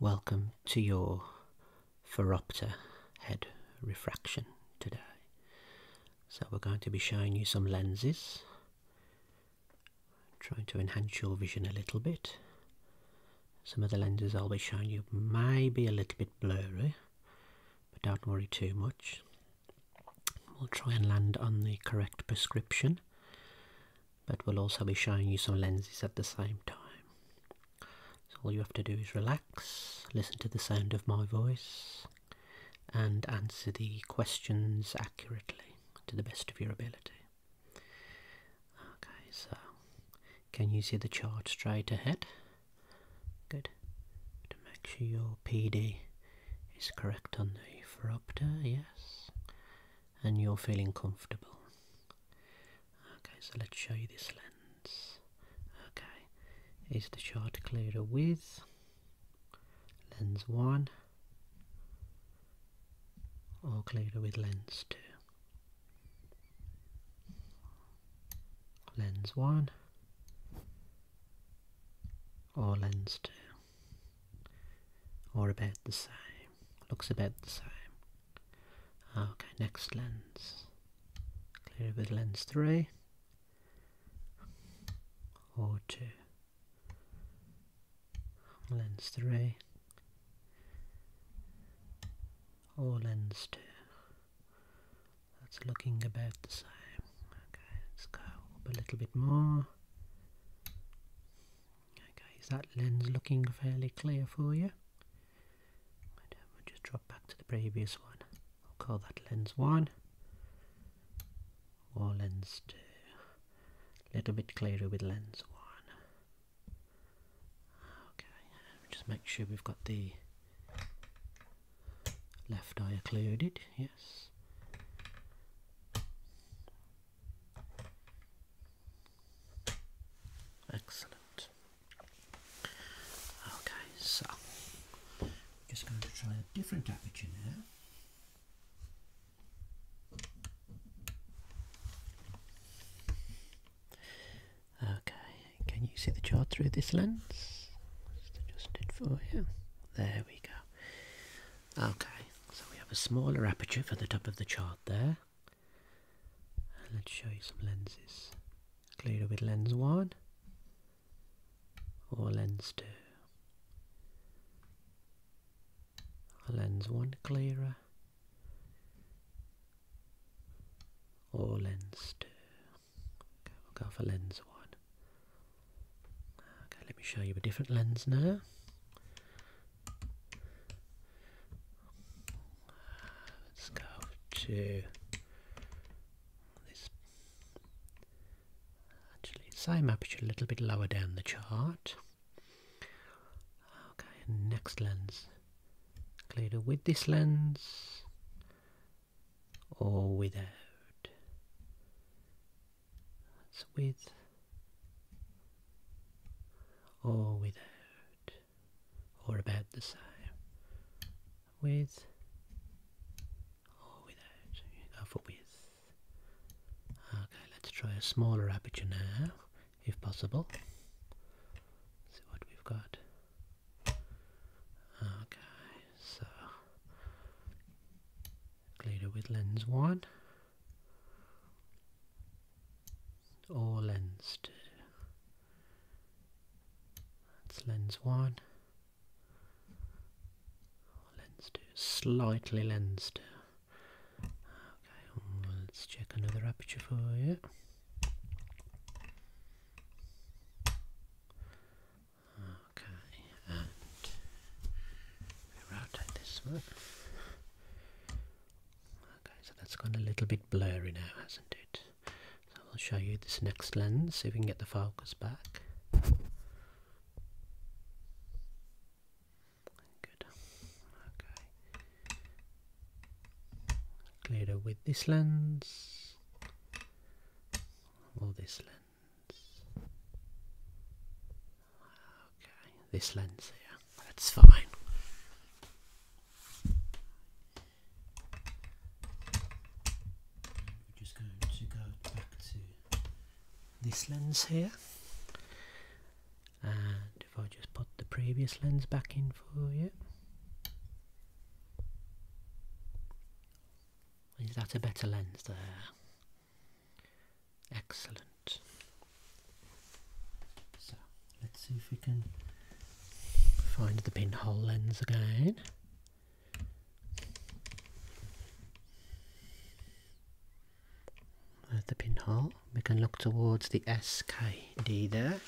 Welcome to your Phoropter head refraction today. So we're going to be showing you some lenses, trying to enhance your vision a little bit. Some of the lenses I'll be showing you may be a little bit blurry, but don't worry too much. We'll try and land on the correct prescription but we'll also be showing you some lenses at the same time. So all you have to do is relax, listen to the sound of my voice and answer the questions accurately to the best of your ability. Okay, so can you see the chart straight ahead? Good. To make sure your PD is correct on the phoropter, yes and you're feeling comfortable. Okay, so let's show you this lens. Okay, is the chart clearer with lens 1 or clearer with lens 2? Lens 1 or lens 2? or about the same looks about the same ah, okay next lens clear with lens 3 or 2 lens 3 or lens 2 that's looking about the same okay let's go up a little bit more Okay, is that lens looking fairly clear for you? Right, um, will just drop back to the previous one. I'll call that lens 1 or lens 2. A little bit clearer with lens 1. Okay, um, just make sure we've got the left eye occluded, yes. Excellent. Okay, so just going to try a different aperture Okay, can you see the chart through this lens? Just adjust for you. There we go. Okay, so we have a smaller aperture for the top of the chart there. let's show you some lenses. Clearer with lens 1 or lens 2. Lens 1 clearer or lens 2. Okay, we'll go for lens 1. Okay, let me show you a different lens now. Let's go to this. Actually, same aperture, a little bit lower down the chart. Okay, next lens. Clearer with this lens or without. That's with or without or about the same. With or without. You for with. Okay, let's try a smaller aperture now, if possible. let see what we've got. Okay, so cleaner with lens one. All lensed. 2. That's lens 1. Lens 2, slightly lensed. 2. Okay, let's check another aperture for you. Okay, and we rotate this one. Okay, so that's gone a little bit blurry now, hasn't it? So I'll show you this next lens, see if we can get the focus back. Good. Okay. Clearer with this lens or this lens this lens here, that's fine. We're just going to go back to this lens here, and if I just put the previous lens back in for you. Is that a better lens there? Excellent. So let's see if we can find the pinhole lens again. There's the pinhole. We can look towards the SKD there.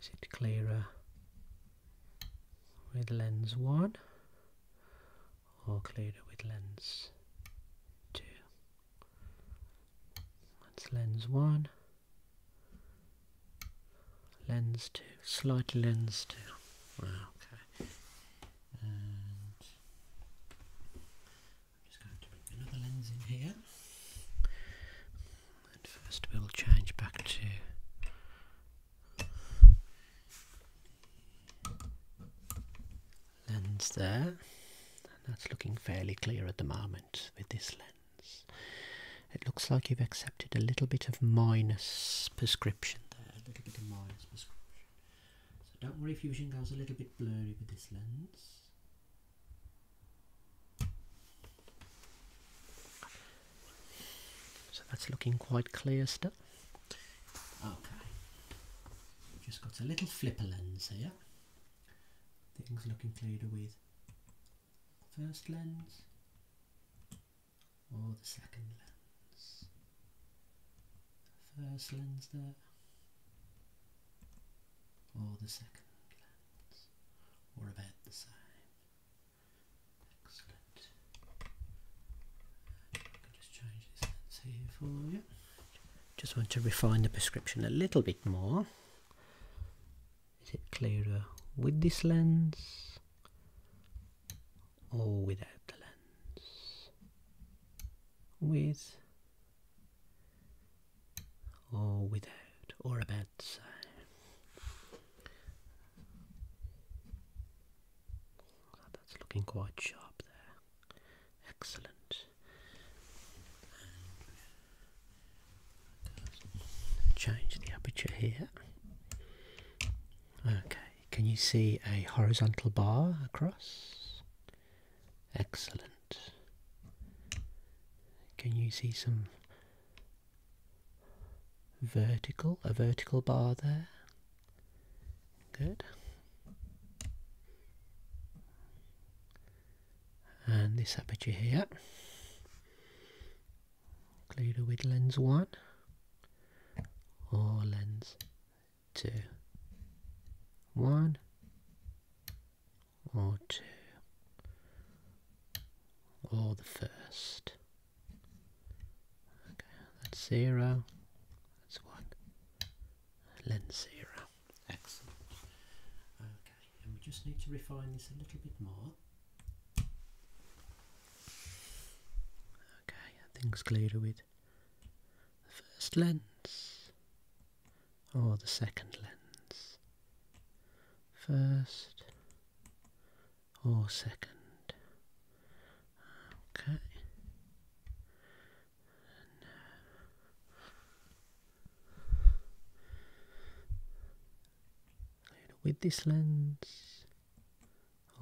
Is it clearer with lens 1 occluder with lens 2. That's lens 1, lens 2, slightly lens 2. Wow, okay. just going to bring another lens in here. And first we'll change back to lens there. And that's looking fairly clear at the moment with this lens. It looks like you've accepted a little bit of minus prescription there, a little bit of minus prescription. So don't worry if your vision goes a little bit blurry with this lens. So that's looking quite clear stuff. Okay, we've just got a little flipper lens here. Things looking clearer with first lens or the second lens. First lens there or the second lens or about the same. Excellent. Just change this lens here for you. Just want to refine the prescription a little bit more. Is it clearer with this lens or without the lens? With or without, or about the same that's looking quite sharp there. Excellent. Change the aperture here. Okay, can you see a horizontal bar across? Excellent. Can you see some vertical, a vertical bar there? Good. And this aperture here, included with lens 1 or lens 2. 1 or 2 or the first. Okay, that's 0 that's one. Lens zero. Excellent. Okay, and we just need to refine this a little bit more. Okay, I think's clearer with the first lens or the second lens. First or second. Okay. with this lens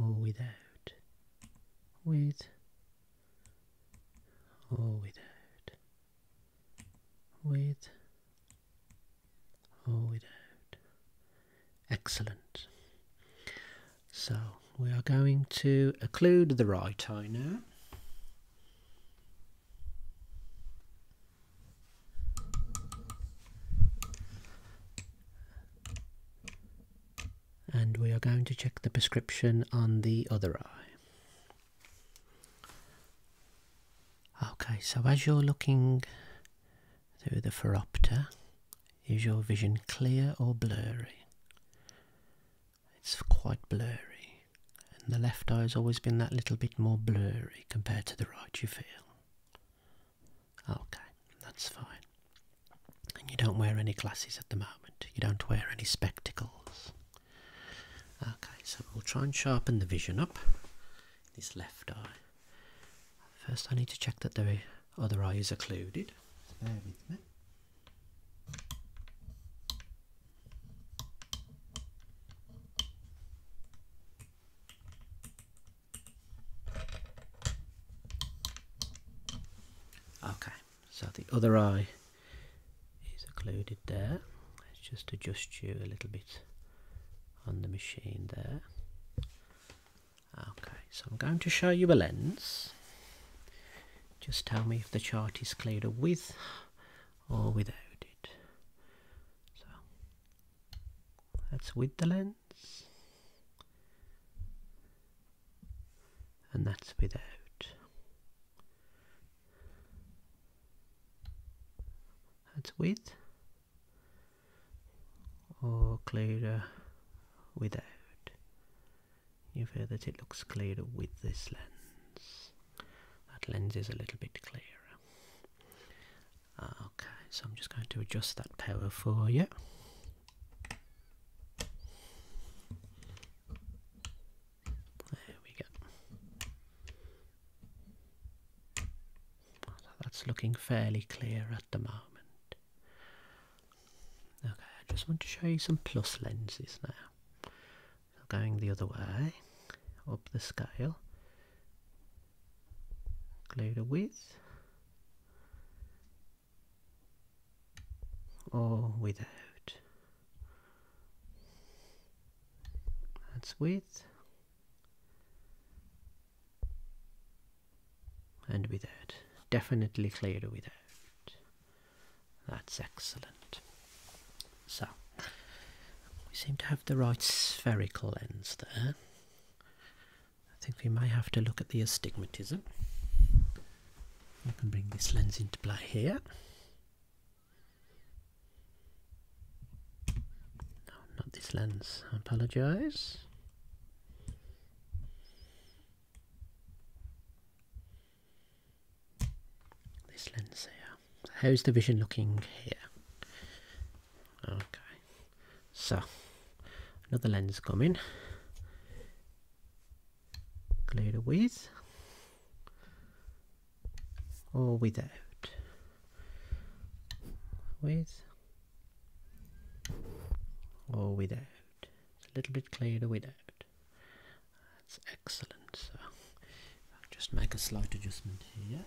or without? With or without? With or without? Excellent. So we are going to occlude the right eye now. And we are going to check the prescription on the other eye. Okay, so as you're looking through the phoropter, is your vision clear or blurry? It's quite blurry, and the left eye has always been that little bit more blurry compared to the right, you feel. Okay, that's fine. And you don't wear any glasses at the moment, you don't wear any spectacles. Okay, so we'll try and sharpen the vision up, this left eye. First, I need to check that there is other eye is occluded. Okay, so the other eye is occluded there. Let's just adjust you a little bit on the machine there. Okay, so I'm going to show you a lens. Just tell me if the chart is clearer with or without it. So that's with the lens, and that's without. That's with or clearer without. You've heard that it looks clearer with this lens. That lens is a little bit clearer. Okay, so I'm just going to adjust that power for you. There we go. that's looking fairly clear at the moment. Okay, I just want to show you some plus lenses now. going the other way, up the scale, include a width or without. That's width and with that, Definitely clearer without. That's excellent. So, we seem to have the right spherical lens there. I think we may have to look at the astigmatism. I can bring this lens into play here. No, not this lens. I apologise. This lens here. how's the vision looking here? Okay, so another lens coming. Glue the with or without. With or without a little bit clearer without. out. That's excellent. So just make a slight adjustment here.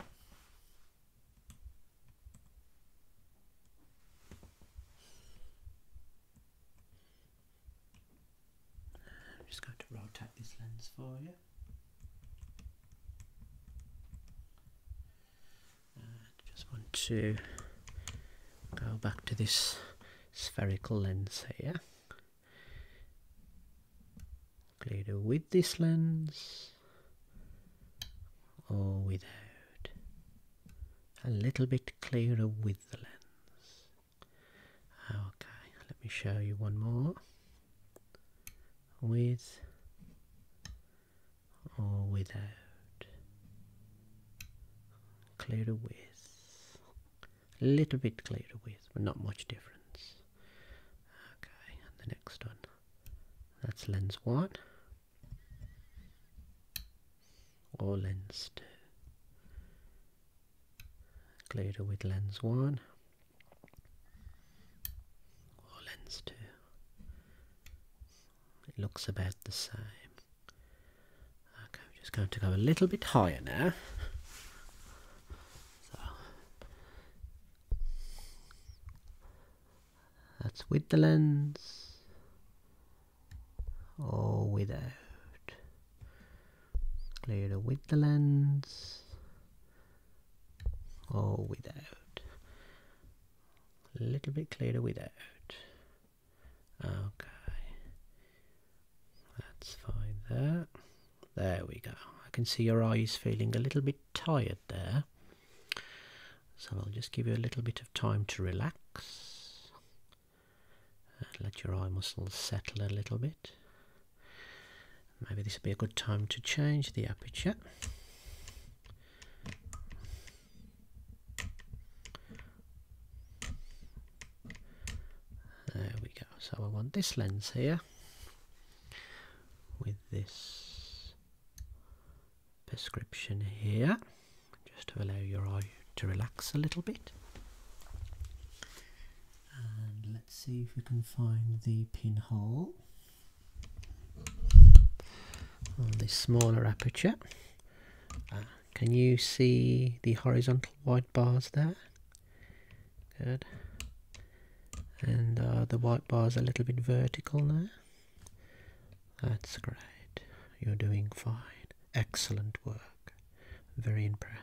I'm just going to rotate this lens for you. I uh, just want to go back to this spherical lens here. Clearer with this lens or without. A little bit clearer with the lens. Okay, let me show you one more with or without, Clearer with, a little bit clearer with, but not much difference. Okay, the next one, that's lens one or lens two. Clearer with lens one or lens two. It looks about the same. Okay, I'm just going to go a little bit higher now. So that's with the lens or without. Clearer with the lens or without a little bit clearer without. Okay, that's fine there. There we go. I can see your eyes feeling a little bit tired there. So I'll just give you a little bit of time to relax. And let your eye muscles settle a little bit. Maybe this would be a good time to change the aperture. There we go. So I want this lens here with this prescription here just to allow your eye to relax a little bit. And let's see if we can find the pinhole on the smaller aperture. Uh, can you see the horizontal white bars there? Good. And the white bars a little bit vertical now. That's great. You're doing fine. Excellent work. Very impressed.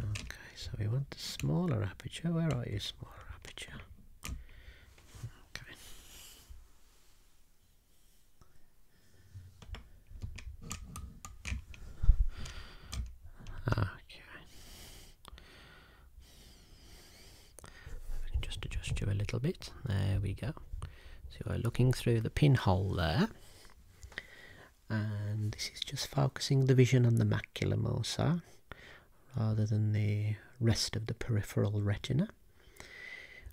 Okay, so we want the smaller aperture. Where are you, smaller aperture? Okay. Okay. just adjust you a little bit. There we go. So we're looking through the pinhole there. And this is just focusing the vision on the macula mossa rather than the rest of the peripheral retina.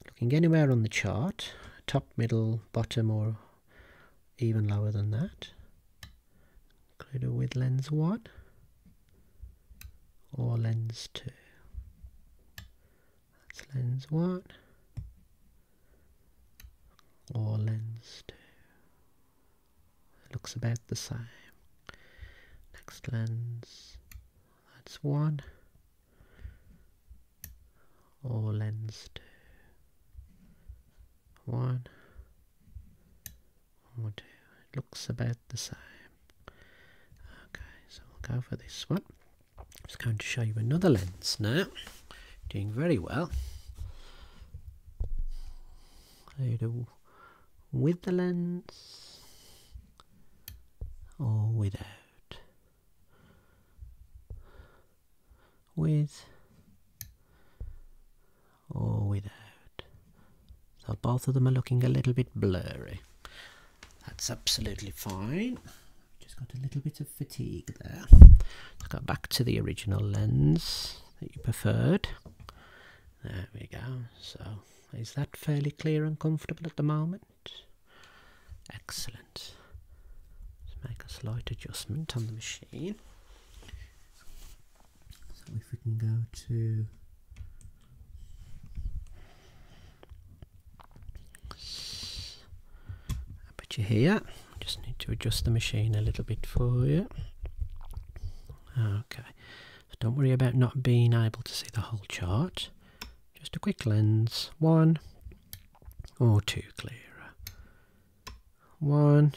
Looking anywhere on the chart, top, middle, bottom or even lower than that. Include with lens 1 or lens 2. That's lens 1 or lens 2 looks about the same. Next lens, that's one, or lens two, one, or two, it looks about the same. Okay, so we'll go for this one. i just going to show you another lens now, doing very well. Ada with the lens or without? With or without? So both of them are looking a little bit blurry. That's absolutely fine. Just got a little bit of fatigue there. Let's go back to the original lens that you preferred. There we go. So is that fairly clear and comfortable at the moment? Excellent. Let's make a slight adjustment on the machine. So if we can go to I you here. Just need to adjust the machine a little bit for you. Okay don't worry about not being able to see the whole chart. Just a quick lens, one or two clearer. One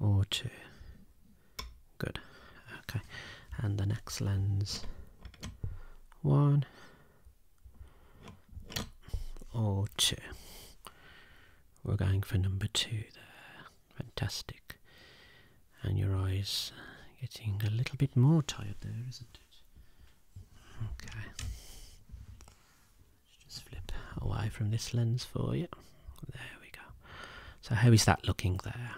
or two. Good. Okay. And the next lens, one or two. We're going for number two there. Fantastic. And your eyes getting a little bit more tired there, isn't it? Okay. Let's just flip away from this lens for you. There we go. So how is that looking there?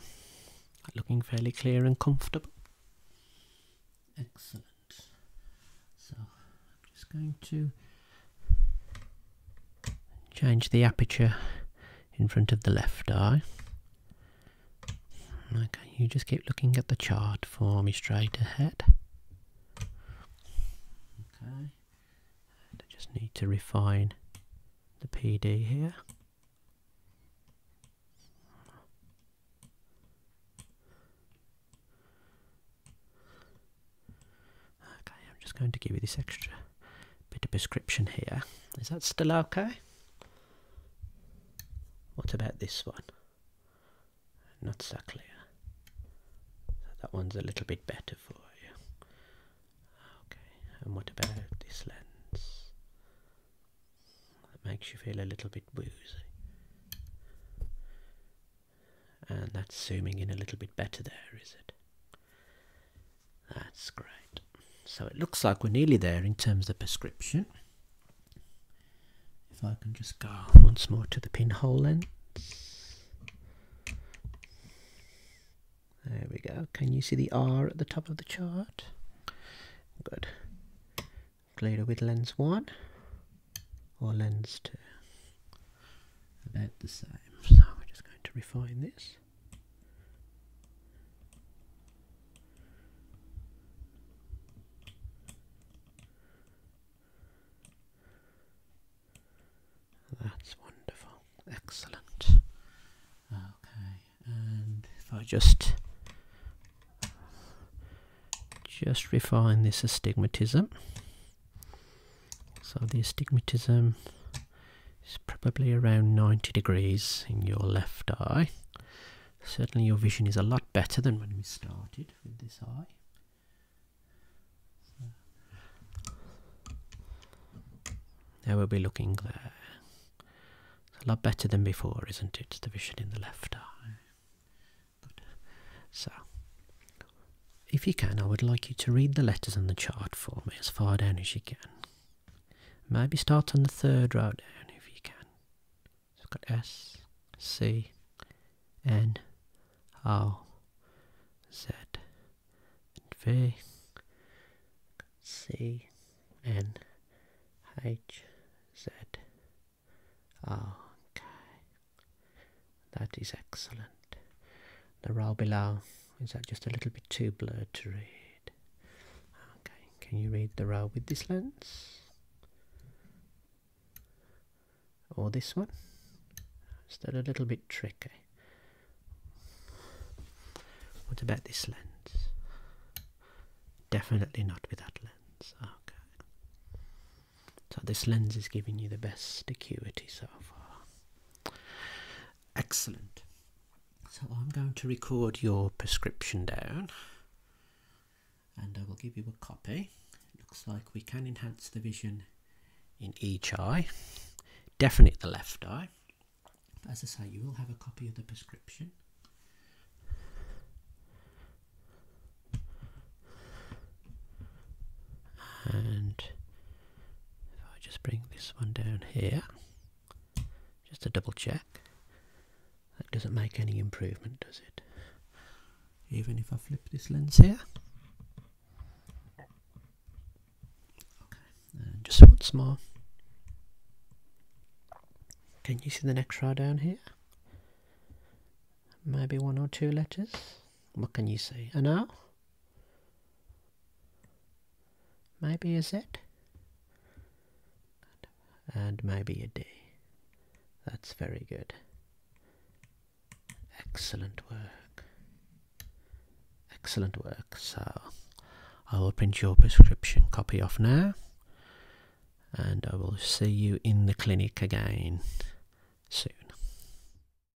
Looking fairly clear and comfortable. Excellent. So I'm just going to Change the aperture in front of the left eye. Okay, you just keep looking at the chart for me straight ahead. Okay, I just need to refine the PD here. Okay, I'm just going to give you this extra bit of prescription here. Is that still okay? What about this one? Not so clear. that one's a little bit better for you. Okay, and what about this lens? That makes you feel a little bit woozy. And that's zooming in a little bit better there, is it? That's great. So it looks like we're nearly there in terms of the prescription. If I can just go once more to the pinhole lens. There we go. Can you see the R at the top of the chart? Good. Glider with lens 1 or lens 2. About the same. So we're just going to refine this. That's wonderful. Excellent. Okay, and if I just just refine this astigmatism so the astigmatism is probably around 90 degrees in your left eye. Certainly your vision is a lot better than when we started with this eye. Now we'll be looking there. It's a lot better than before, isn't it? The vision in the left eye. So, if you can, I would like you to read the letters on the chart for me as far down as you can. Maybe start on the third row down if you can. So have got S, C, N, O, Z, that is excellent. The row below, is that just a little bit too blurred to read? Okay, can you read the row with this lens? Or this one? Still a little bit tricky. What about this lens? Definitely not with that lens. Okay. So this lens is giving you the best acuity so far. Excellent. So I'm going to record your prescription down and I will give you a copy. looks like we can enhance the vision in each eye, definite the left eye. as I say, you will have a copy of the prescription. And if I just bring this one down here, just to double check, that doesn't make any improvement, does it? Even if I flip this lens here. and just once more. Can you see the next row down here? Maybe one or two letters. What can you see? An R? Maybe a Z. And maybe a D. That's very good. Excellent work. Excellent work. So I will print your prescription copy off now. And I will see you in the clinic again soon.